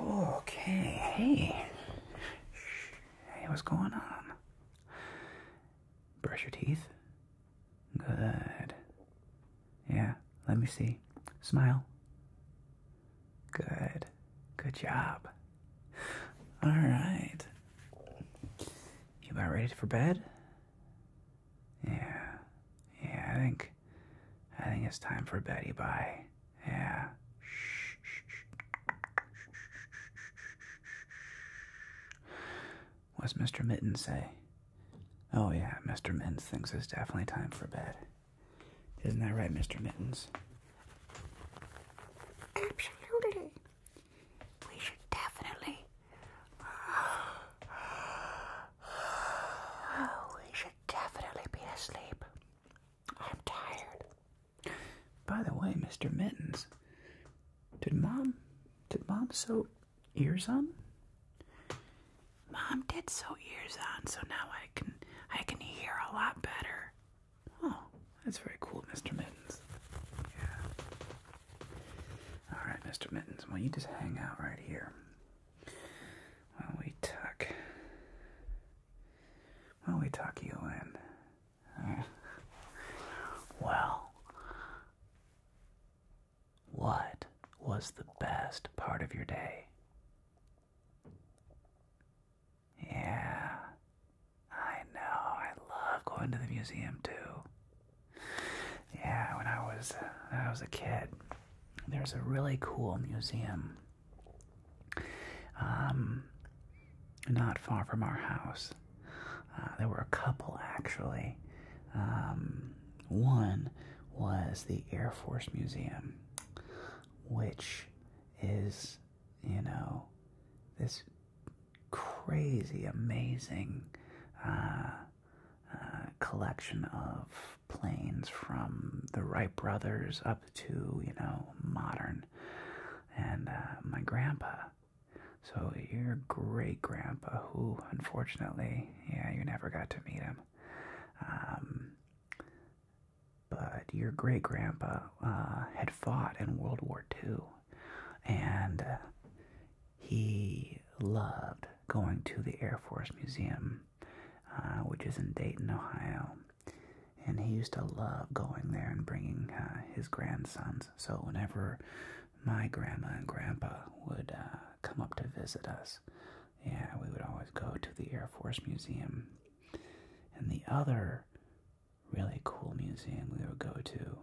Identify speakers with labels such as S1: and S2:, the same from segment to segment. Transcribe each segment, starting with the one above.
S1: Okay, hey. Hey, what's going on? Brush your teeth? Good. Yeah, let me see. Smile. Good. Good job. Alright. You about ready for bed? Yeah. Yeah, I think, I think it's time for Betty Bye. Yeah. What's Mr. Mittens say? Oh yeah, Mr. Mittens thinks it's definitely time for bed. Isn't that right, Mr. Mittens? Absolutely. We should definitely. Oh, we should definitely be asleep. I'm tired. By the way, Mr. Mittens, did mom did mom sew ears on? Mom did sew ears on, so now I can I can hear a lot better. Oh, that's very cool, Mr. Mittens. Yeah. All right, Mr. Mittens. Well, you just hang out right here. Well, we tuck. Well, we tuck you in. well, what was the best part of your day? Yeah, I know. I love going to the museum too. Yeah, when I was uh, when I was a kid, there's a really cool museum um, not far from our house. Uh, there were a couple actually. Um, one was the Air Force Museum, which is, you know, this crazy, amazing uh, uh, collection of planes from the Wright brothers up to, you know, modern. And uh, my grandpa. So your great grandpa, who unfortunately, yeah, you never got to meet him. Um, but your great grandpa uh, had fought in World War II, and he loved going to the Air Force Museum uh, which is in Dayton, Ohio. And he used to love going there and bringing uh, his grandsons. So whenever my grandma and grandpa would uh, come up to visit us, yeah, we would always go to the Air Force Museum. And the other really cool museum we would go to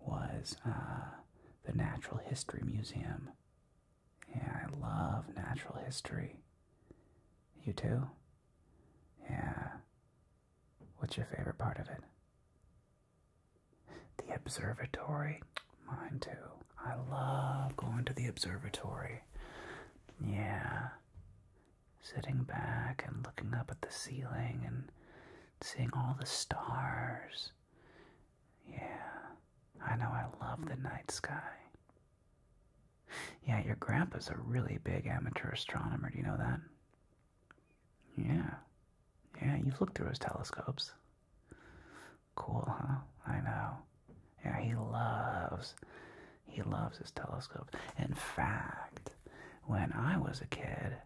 S1: was the Natural History Museum yeah, I love natural history. You too? Yeah. What's your favorite part of it? The observatory? Mine too. I love going to the observatory. Yeah. Sitting back and looking up at the ceiling and seeing all the stars. Yeah. I know I love the night sky. Yeah, your grandpa's a really big amateur astronomer, do you know that? Yeah. Yeah, you've looked through his telescopes. Cool, huh? I know. Yeah, he loves he loves his telescope. In fact, when I was a kid,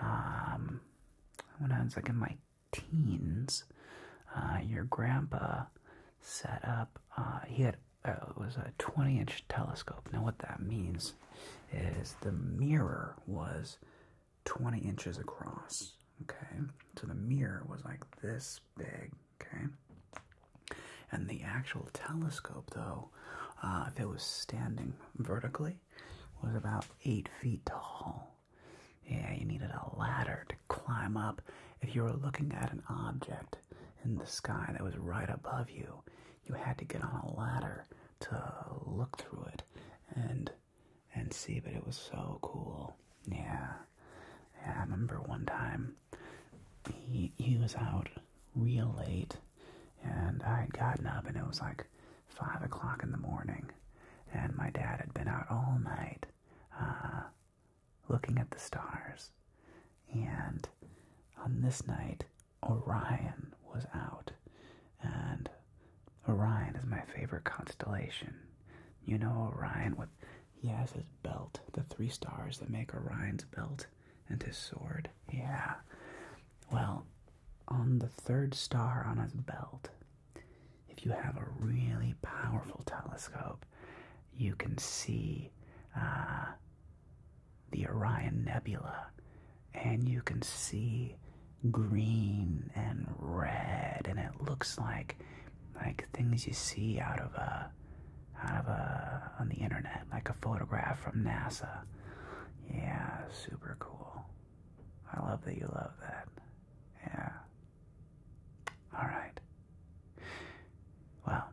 S1: um when I was like in my teens, uh, your grandpa set up, uh, he had, uh, it was a 20 inch telescope. Now, what that means is the mirror was 20 inches across, okay? So the mirror was like this big, okay? And the actual telescope, though, if it was standing vertically, was about eight feet tall. Yeah, you needed a ladder to climb up if you were looking at an object in the sky that was right above you. You had to get on a ladder to look through it and and see, but it was so cool. Yeah. yeah I remember one time he he was out real late and I had gotten up and it was like five o'clock in the morning and my dad had been out all night uh looking at the stars. And on this night, Orion was out. And Orion is my favorite constellation. You know Orion with he has his belt, the three stars that make Orion's belt and his sword. Yeah. Well, on the third star on his belt, if you have a really powerful telescope, you can see uh, the Orion Nebula and you can see green and red and it looks like like things you see out of out of on the internet like a photograph from NASA. Yeah, super cool. I love that you love that. Yeah. Alright. Well,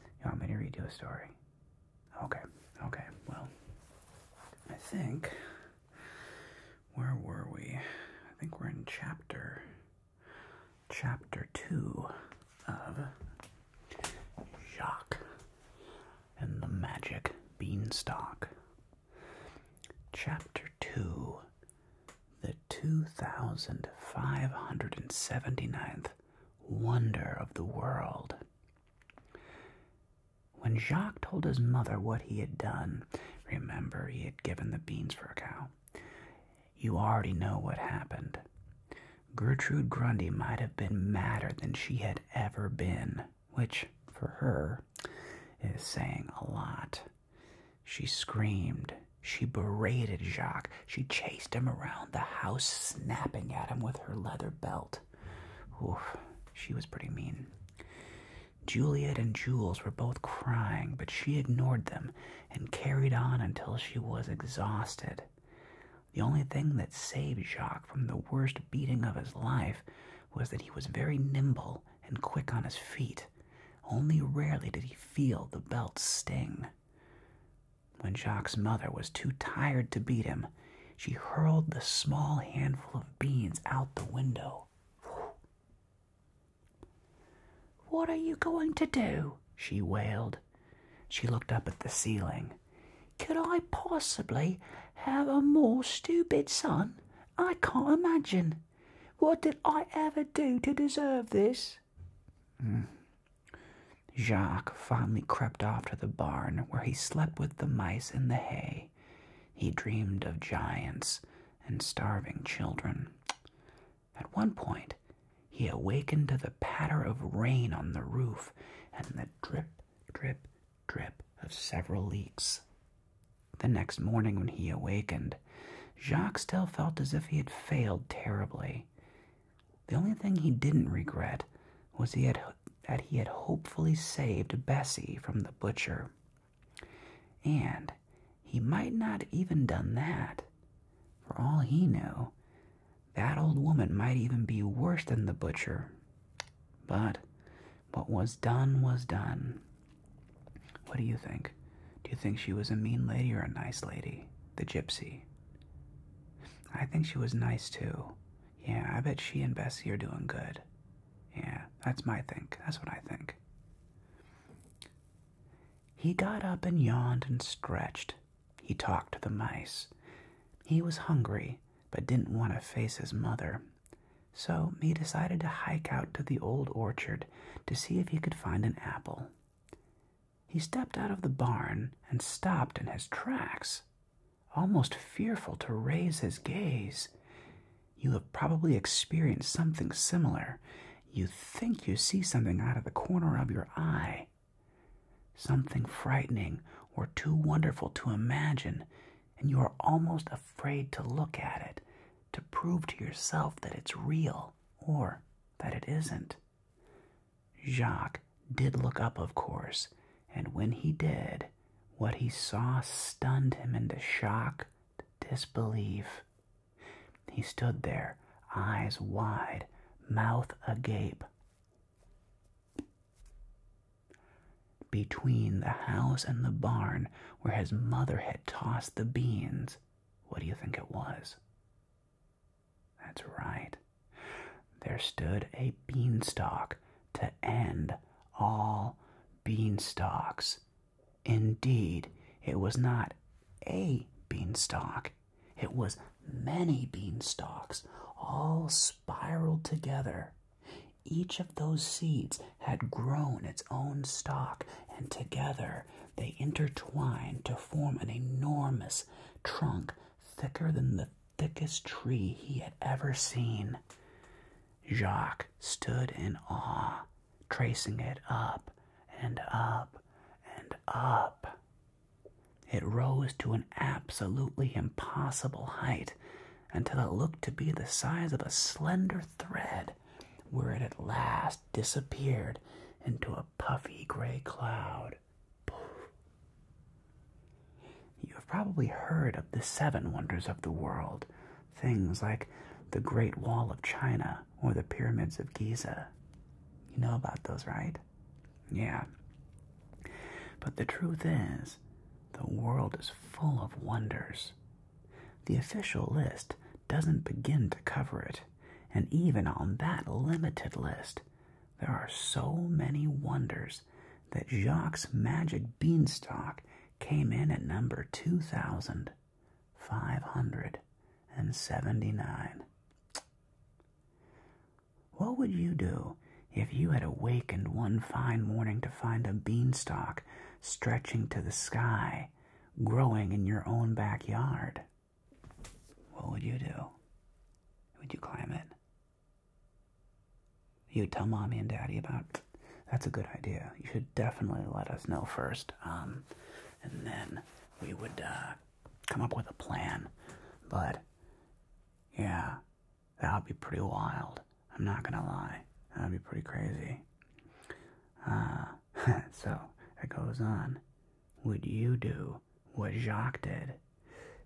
S1: you want me to read you a story? Okay, okay, well, I think. Where were we? I think we're in chapter. Chapter 2 of Jacques and the Magic Beanstalk. Chapter 2 The 2,579th wonder of the world. When Jacques told his mother what he had done, remember he had given the beans for a cow, you already know what happened. Gertrude Grundy might have been madder than she had ever been, which, for her, is saying a lot. She screamed. She berated Jacques. She chased him around the house, snapping at him with her leather belt. Oof, she was pretty mean. Juliet and Jules were both crying, but she ignored them and carried on until she was exhausted. The only thing that saved Jacques from the worst beating of his life was that he was very nimble and quick on his feet. Only rarely did he feel the belt sting. When Jacques' mother was too tired to beat him, she hurled the small handful of beans out the window. What are you going to do? she wailed. She looked up at the ceiling. Could I possibly have a more stupid son? I can't imagine. What did I ever do to deserve this? Hmm. Jacques finally crept off to the barn where he slept with the mice in the hay. He dreamed of giants and starving children. At one point, he awakened to the patter of rain on the roof and the drip, drip, drip of several leaks. The next morning, when he awakened, Jacques still felt as if he had failed terribly. The only thing he didn't regret was that he had hopefully saved Bessie from the butcher. And he might not even done that. For all he knew, that old woman might even be worse than the butcher. But what was done was done. What do you think? Do you think she was a mean lady or a nice lady? The gypsy. I think she was nice too. Yeah, I bet she and Bessie are doing good. Yeah, that's my think. That's what I think. He got up and yawned and stretched. He talked to the mice. He was hungry, but didn't want to face his mother. So he decided to hike out to the old orchard to see if he could find an apple. He stepped out of the barn and stopped in his tracks, almost fearful to raise his gaze. You have probably experienced something similar. You think you see something out of the corner of your eye. Something frightening or too wonderful to imagine, and you are almost afraid to look at it, to prove to yourself that it's real or that it isn't. Jacques did look up, of course, and when he did, what he saw stunned him into shock, disbelief. He stood there, eyes wide, mouth agape. Between the house and the barn where his mother had tossed the beans, what do you think it was? That's right. There stood a beanstalk to end all beanstalks. Indeed, it was not a beanstalk, it was many beanstalks, all spiraled together. Each of those seeds had grown its own stalk, and together they intertwined to form an enormous trunk thicker than the thickest tree he had ever seen. Jacques stood in awe, tracing it up and up and up. It rose to an absolutely impossible height until it looked to be the size of a slender thread where it at last disappeared into a puffy gray cloud. You have probably heard of the seven wonders of the world, things like the Great Wall of China or the Pyramids of Giza. You know about those, right? Yeah. But the truth is, the world is full of wonders the official list doesn't begin to cover it, and even on that limited list, there are so many wonders that Jacques' magic beanstalk came in at number 2,579. What would you do if you had awakened one fine morning to find a beanstalk stretching to the sky growing in your own backyard, what would you do? Would you climb it? You'd tell mommy and daddy about That's a good idea. You should definitely let us know first. Um, and then we would uh, come up with a plan. But yeah, that would be pretty wild. I'm not going to lie. That would be pretty crazy. Uh, so it goes on. Would you do what Jacques did?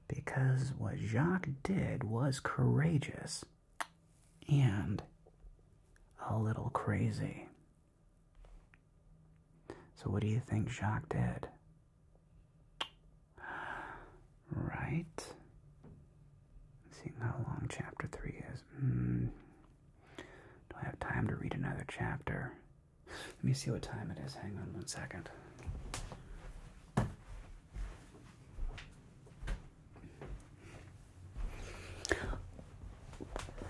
S1: Because what Jacques did was courageous and a little crazy. So, what do you think Jacques did? Right. Seeing how long chapter 3 is. Hmm. Do I have time to read another chapter? Let me see what time it is. Hang on one second.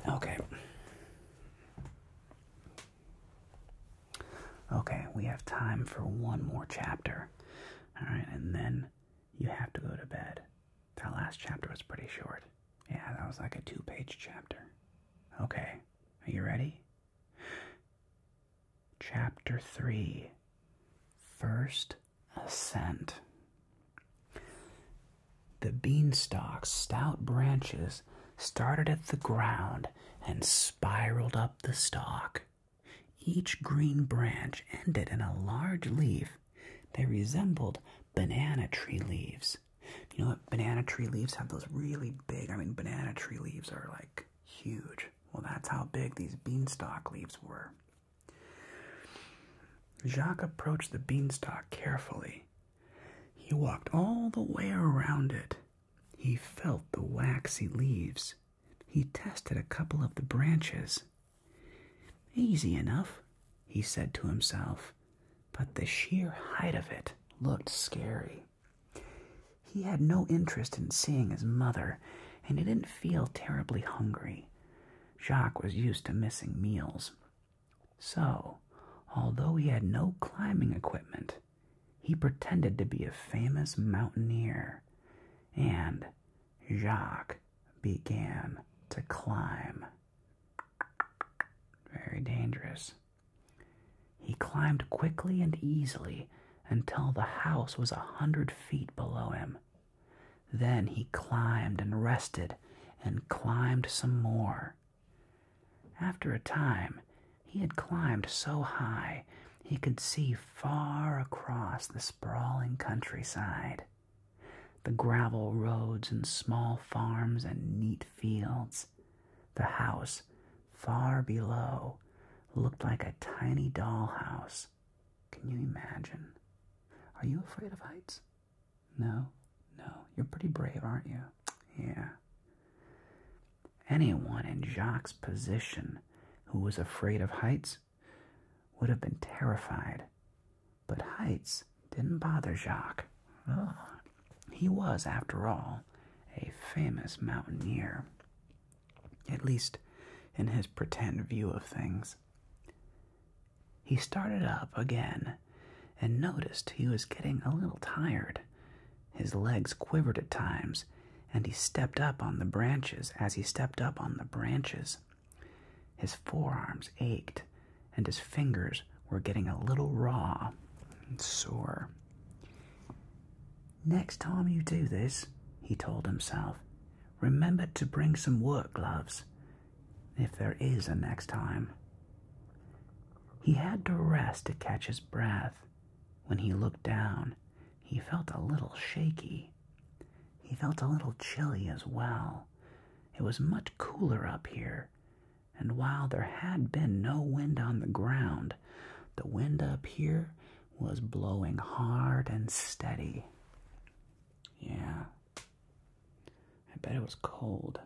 S1: Okay. Okay, we have time for one more chapter. All right, and then you have to go to bed. That last chapter was pretty short. Yeah, that was like a two page chapter. Okay, are you ready? Chapter 3 First Ascent. The beanstalk's stout branches started at the ground and spiraled up the stalk. Each green branch ended in a large leaf. They resembled banana tree leaves. You know what? Banana tree leaves have those really big, I mean, banana tree leaves are like huge. Well, that's how big these beanstalk leaves were. Jacques approached the beanstalk carefully. He walked all the way around it. He felt the waxy leaves. He tested a couple of the branches. Easy enough, he said to himself but the sheer height of it looked scary. He had no interest in seeing his mother, and he didn't feel terribly hungry. Jacques was used to missing meals. So, although he had no climbing equipment, he pretended to be a famous mountaineer, and Jacques began to climb. Very dangerous. He climbed quickly and easily until the house was a hundred feet below him. Then he climbed and rested and climbed some more. After a time, he had climbed so high he could see far across the sprawling countryside. The gravel roads and small farms and neat fields. The house, far below, looked like a tiny dollhouse. Can you imagine? Are you afraid of heights? No, no. You're pretty brave, aren't you? Yeah. Anyone in Jacques' position who was afraid of heights would have been terrified. But heights didn't bother Jacques. He was, after all, a famous mountaineer, at least in his pretend view of things. He started up again and noticed he was getting a little tired. His legs quivered at times, and he stepped up on the branches as he stepped up on the branches. His forearms ached, and his fingers were getting a little raw and sore. Next time you do this, he told himself, remember to bring some work gloves, if there is a next time. He had to rest to catch his breath. When he looked down, he felt a little shaky. He felt a little chilly as well. It was much cooler up here, and while there had been no wind on the ground, the wind up here was blowing hard and steady. Yeah. I bet it was cold.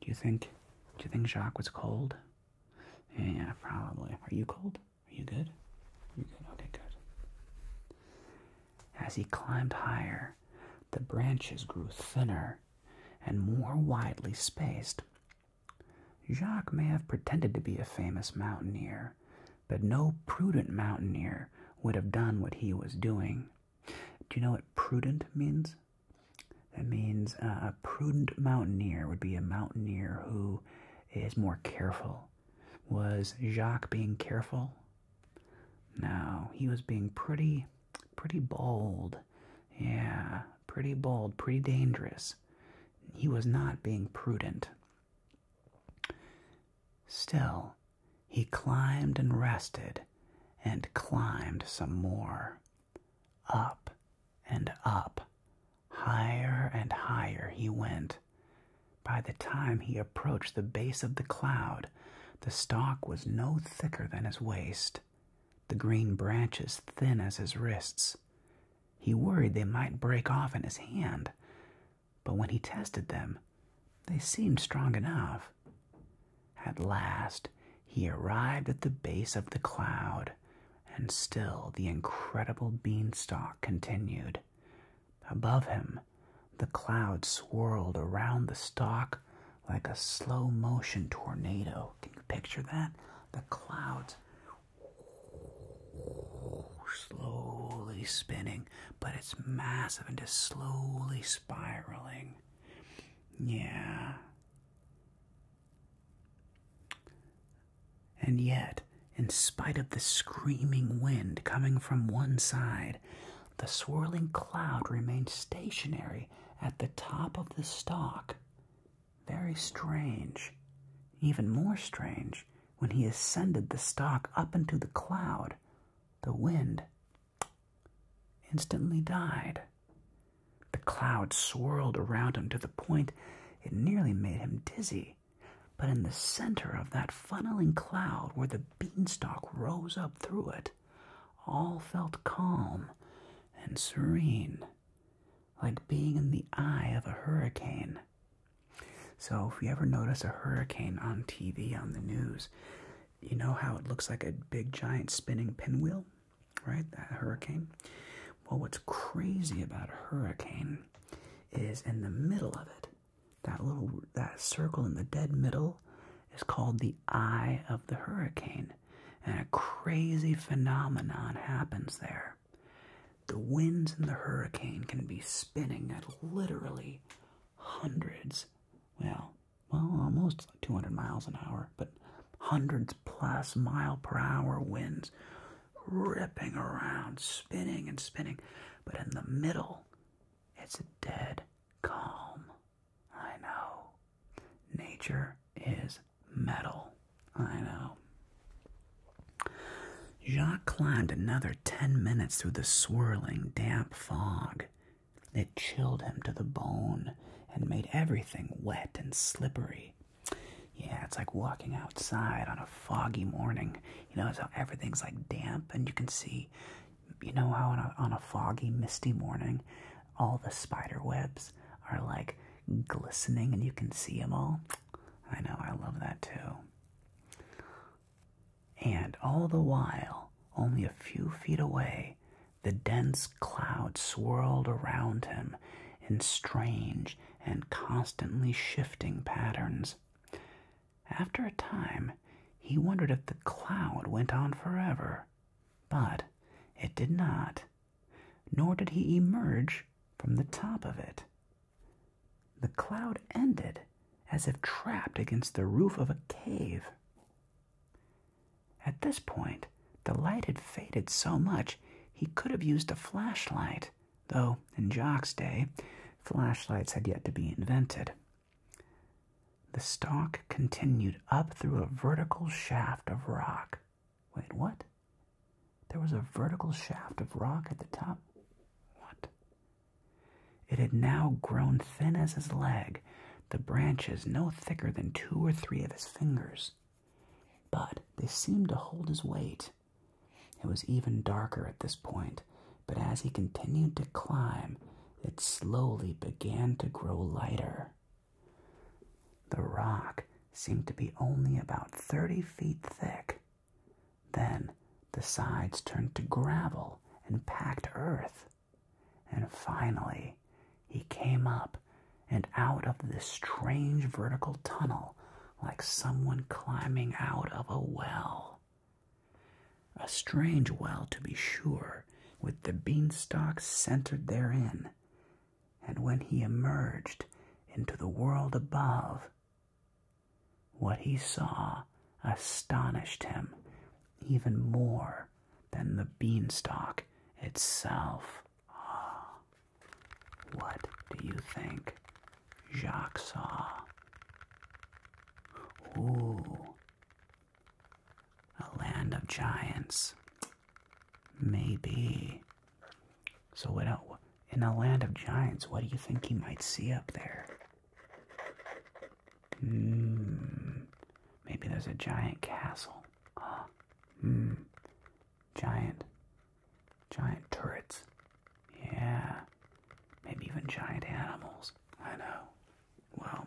S1: Do you think do you think Jacques was cold? Yeah, probably. Are you cold? Are you good? You good? Okay, good. As he climbed higher, the branches grew thinner and more widely spaced. Jacques may have pretended to be a famous mountaineer, but no prudent mountaineer would have done what he was doing. Do you know what prudent means? It means uh, a prudent mountaineer would be a mountaineer who is more careful. Was Jacques being careful? No, he was being pretty, pretty bold. Yeah, pretty bold, pretty dangerous. He was not being prudent. Still, he climbed and rested and climbed some more. Up and up, higher and higher he went. By the time he approached the base of the cloud, the stalk was no thicker than his waist, the green branches thin as his wrists. He worried they might break off in his hand, but when he tested them, they seemed strong enough. At last, he arrived at the base of the cloud, and still the incredible beanstalk continued. Above him, the cloud swirled around the stalk like a slow motion tornado. Can you picture that? The clouds slowly spinning, but it's massive and just slowly spiraling. Yeah. And yet, in spite of the screaming wind coming from one side, the swirling cloud remained stationary at the top of the stalk. Very strange, even more strange, when he ascended the stalk up into the cloud, the wind instantly died. The cloud swirled around him to the point it nearly made him dizzy. But in the center of that funneling cloud, where the beanstalk rose up through it, all felt calm and serene, like being in the eye of a hurricane. So, if you ever notice a hurricane on TV, on the news, you know how it looks like a big giant spinning pinwheel, right? That hurricane. Well, what's crazy about a hurricane is in the middle of it, that little that circle in the dead middle is called the eye of the hurricane, and a crazy phenomenon happens there. The winds in the hurricane can be spinning at literally hundreds, well, almost 200 miles an hour, but hundreds plus mile per hour winds ripping around, spinning and spinning. But in the middle, it's dead calm. I know. Nature is metal. I know. Jacques climbed another ten minutes through the swirling, damp fog. It chilled him to the bone and made everything wet and slippery. Yeah, it's like walking outside on a foggy morning. You know, how everything's like damp and you can see you know how on a, foggy, misty morning, all the spider webs are like glistening and you can see them all? I know, I love that too. And all the while, only a few feet away, the dense cloud swirled around him in strange and constantly shifting patterns. After a time, he wondered if the cloud went on forever but it did not, nor did he emerge from the top of it. The cloud ended as if trapped against the roof of a cave. At this point, the light had faded so much he could have used a flashlight, though in Jock's day, flashlights had yet to be invented. The stalk continued up through a vertical shaft of rock. Wait, what? There was a vertical shaft of rock at the top? What? It had now grown thin as his leg, the branches no thicker than two or three of his fingers. But they seemed to hold his weight. It was even darker at this point, but as he continued to climb, it slowly began to grow lighter. The rock seemed to be only about 30 feet thick. Then the sides turned to gravel and packed earth. And finally, he came up and out of this strange vertical tunnel like someone climbing out of a well. A strange well, to be sure, with the beanstalk centered therein. And when he emerged into the world above, what he saw astonished him even more than the beanstalk itself. Ah, what do you think Jacques saw? Ooh, a land of giants. Maybe. So in a land of giants, what do you think you might see up there? Hmm. Maybe there's a giant castle. Ah. Hmm. Giant. Giant turrets. Yeah. Maybe even giant animals. I know. Well,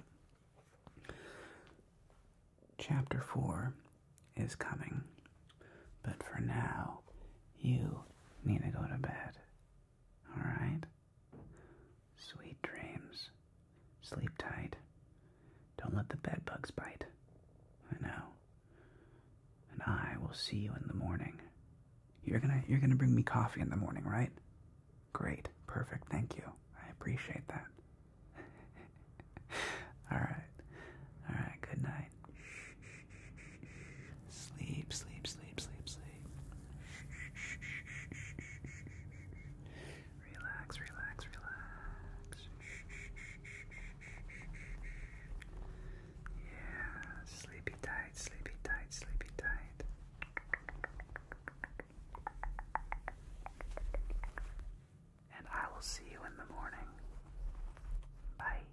S1: chapter 4 is coming, but for now, you need to go to bed. Alright? Sweet dreams. Sleep tight. Don't let the bed bugs bite. I know. And I will see you in the morning. You're gonna you're gonna bring me coffee in the morning, right? Great. Perfect. Thank you. I appreciate that. All right. All right. Good night. Sleep, sleep, sleep, sleep, sleep. Relax, relax, relax. Yeah, sleepy tight, sleepy tight, sleepy tight. And I will see you in the morning. Bye.